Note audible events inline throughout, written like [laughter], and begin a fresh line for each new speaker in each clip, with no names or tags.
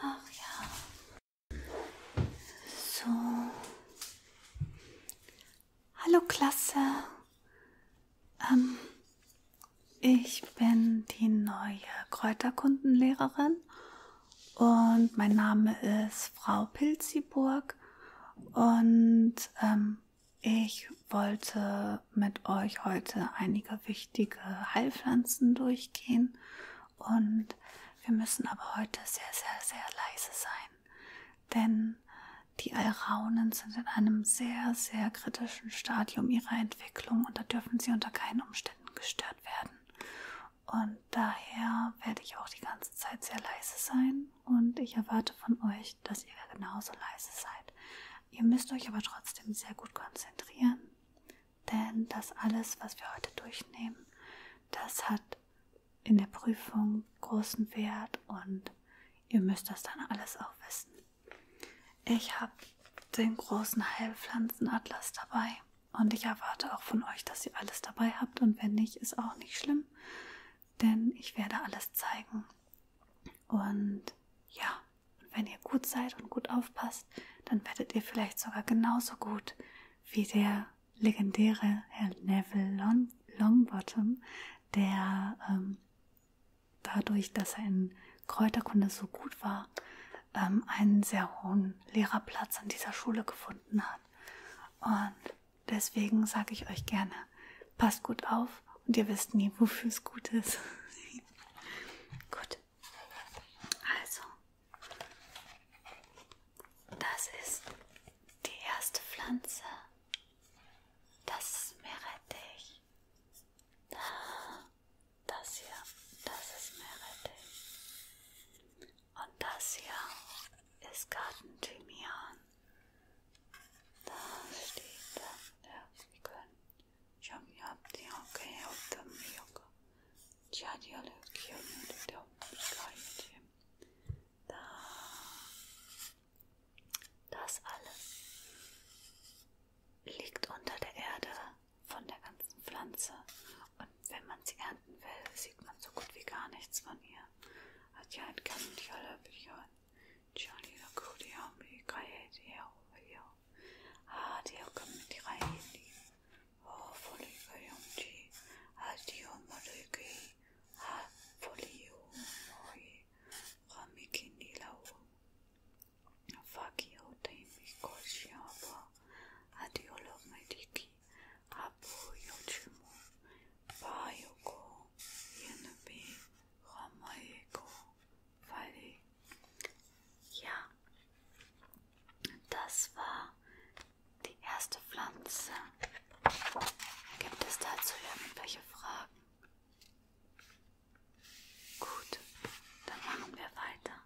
Ach ja. So. Hallo Klasse. Ähm, ich bin die neue Kräuterkundenlehrerin und mein Name ist Frau Pilziburg und ähm, ich wollte mit euch heute einige wichtige Heilpflanzen durchgehen und wir müssen aber heute sehr, sehr, sehr leise sein denn die Alraunen sind in einem sehr, sehr kritischen Stadium ihrer Entwicklung und da dürfen sie unter keinen Umständen gestört werden. Und daher werde ich auch die ganze Zeit sehr leise sein und ich erwarte von euch, dass ihr genauso leise seid. Ihr müsst euch aber trotzdem sehr gut konzentrieren, denn das alles, was wir heute durchnehmen, das hat in der Prüfung großen Wert und ihr müsst das dann alles auch wissen. Ich habe den großen Heilpflanzenatlas dabei und ich erwarte auch von euch, dass ihr alles dabei habt und wenn nicht, ist auch nicht schlimm, denn ich werde alles zeigen. Und ja, wenn ihr gut seid und gut aufpasst, dann werdet ihr vielleicht sogar genauso gut wie der legendäre Herr Neville Long Longbottom, der ähm, dadurch, dass er in Kräuterkunde so gut war, ähm, einen sehr hohen Lehrerplatz an dieser Schule gefunden hat. Und deswegen sage ich euch gerne, passt gut auf und ihr wisst nie, wofür es gut ist. [laughs] gut. Also, das ist die erste Pflanze. Das ist Meerrettich. Das hier, das ist Meerrettich. Und das hier ist Gartenthymian. Da steht da, ja, wir können. Ich habe ja die okay auf dem Milch. Ja, die alle Kirchen und der Sky mit ihm. Da. Das alles liegt unter der Erde von der ganzen Pflanze. Und wenn man sie ernten will, sieht man so gut wie gar nichts von ihr. Oh, fully, very empty. I'll do my foliomoi ramikinilau fakio taimi koshiava adiolo mediki abu yochimu bayoko yenubi ramayeko fali ja, das war die erste Pflanze. Gibt es dazu irgendwelche Fragen? Gut, dann machen wir weiter.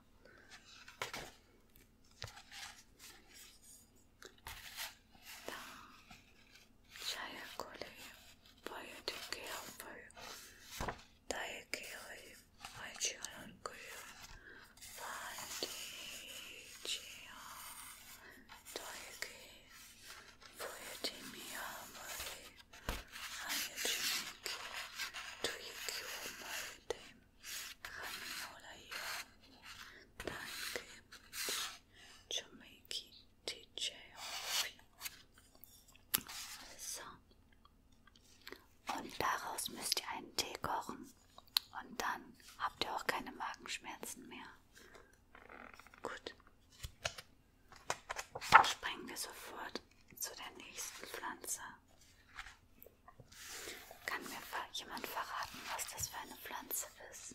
Da. Chayakole, Boyodikea, Boy, Daikere, Maichialankoe, Valdicia Toiki Poetimia Mari Ayajimiki Tuiki Maritim Haminola Yamu Tanki Jamaica TJ So. Und daraus müsst ihr einen Tee kochen. Und dann habt ihr auch keine Magenschmerzen mehr. Gut. Dann springen wir sofort zu der nächsten Pflanze. Kann mir jemand verraten, was das für eine Pflanze ist?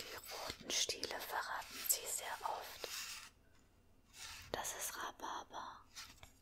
Die roten Stiele verraten sie sehr oft. Das ist Rhabarber.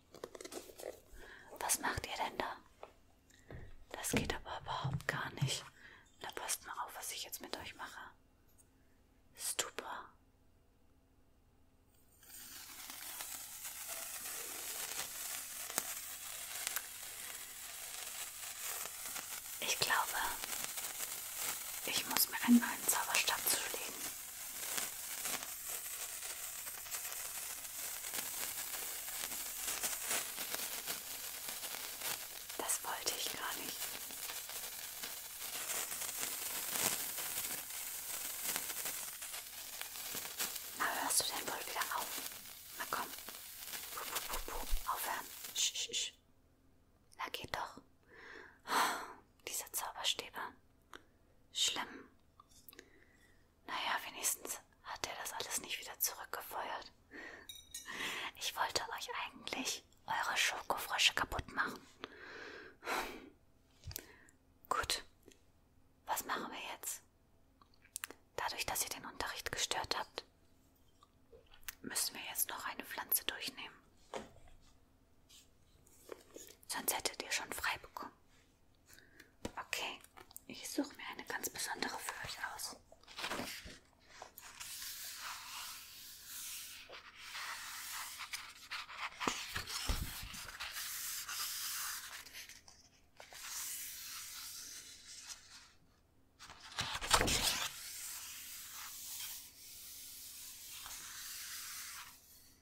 Hey, was macht ihr denn da? Das geht aber überhaupt gar nicht. Na, passt mal auf, was ich jetzt mit euch mache. Super. Ich glaube, ich muss mir einmal einen Zauberstab zulegen. Das wollte ich gar nicht. Na, hörst du denn wohl wieder auf? Na komm. Puh, puh, puh, puh. Aufhören. Sch, sch, sch. Na geht doch. Oh, dieser Zauberstäbe. Schlimm. Naja, wenigstens hat er das alles nicht wieder zurückgefeuert. Ich wollte euch eigentlich eure Schokofrösche kaputt machen. Gut, was machen wir jetzt? Dadurch, dass ihr den Unterricht gestört habt, müssen wir jetzt noch eine Pflanze durchnehmen. Sonst hättet ihr schon frei bekommen. Okay, ich suche mir eine ganz besondere für euch aus.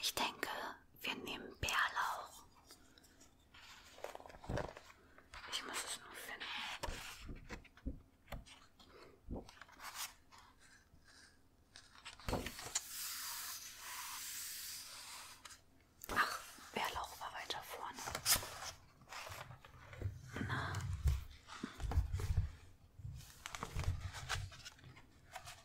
Ich denke, wir nehmen Bärlauch. Ich muss es nur finden. Ach, Bärlauch war weiter vorne. Na.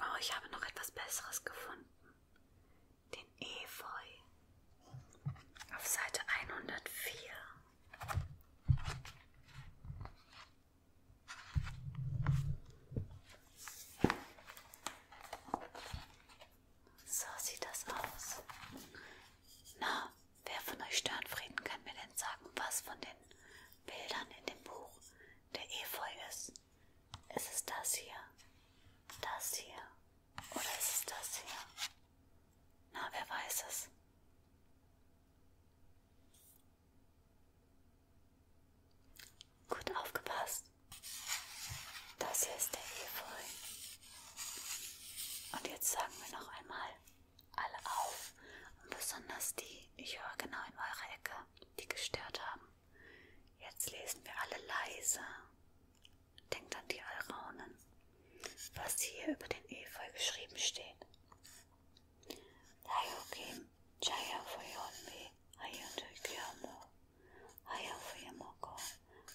Oh, ich habe noch etwas Besseres gefunden. Den Efeu. Auf Seite 104. So sieht das aus. Na, wer von euch Störenfrieden kann mir denn sagen, was von den Bildern in dem Buch der Efeu ist. Ist es das hier? Das hier? Oder ist es das hier? Na, wer weiß es? Gut aufgepasst. Das hier ist der Efeu. Und jetzt sagen wir noch einmal alle auf, und besonders die, ich höre genau in eurer Ecke, die gestört haben. Jetzt lesen wir alle leise. Denkt an die Alraunen, was hier über den Efeu geschrieben steht. Daiokim, Jaya Foyonmi, Ayontokyamo, Ayafuyamoko,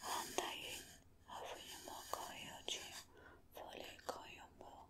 Andayin, Afuyamoko, Yoji, Fole Koyomo,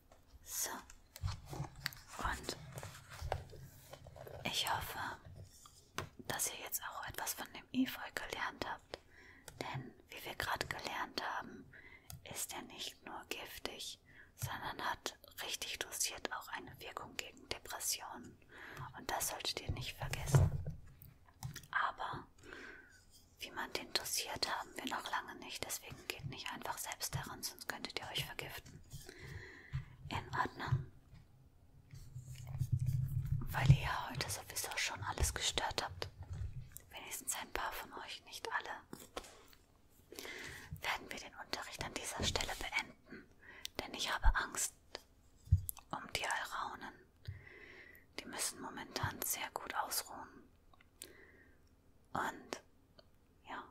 So. Und ich hoffe, dass ihr jetzt auch etwas von dem Efeu gelernt habt. Denn, wie wir gerade gelernt haben, ist er nicht nur giftig, sondern hat richtig dosiert auch eine Wirkung gegen Depressionen. Und das solltet ihr nicht vergessen. Aber wie man den dosiert, haben wir noch lange nicht. Deswegen Deswegen geht nicht einfach selbst daran, sonst könntet ihr euch vergiften. In Ordnung. Weil ihr ja heute sowieso schon alles gestört habt. Wenigstens ein paar von euch, nicht alle. Werden wir den Unterricht an dieser Stelle beenden, denn ich habe Angst um die Alraunen. Die müssen momentan sehr gut ausruhen. Und ja,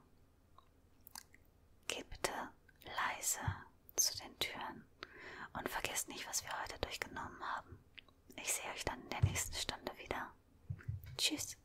geh bitte leise zu den Türen und vergesst nicht, was wir heute durchgenommen haben. Ich sehe euch dann in der nächsten Stunde wieder. Tschüss.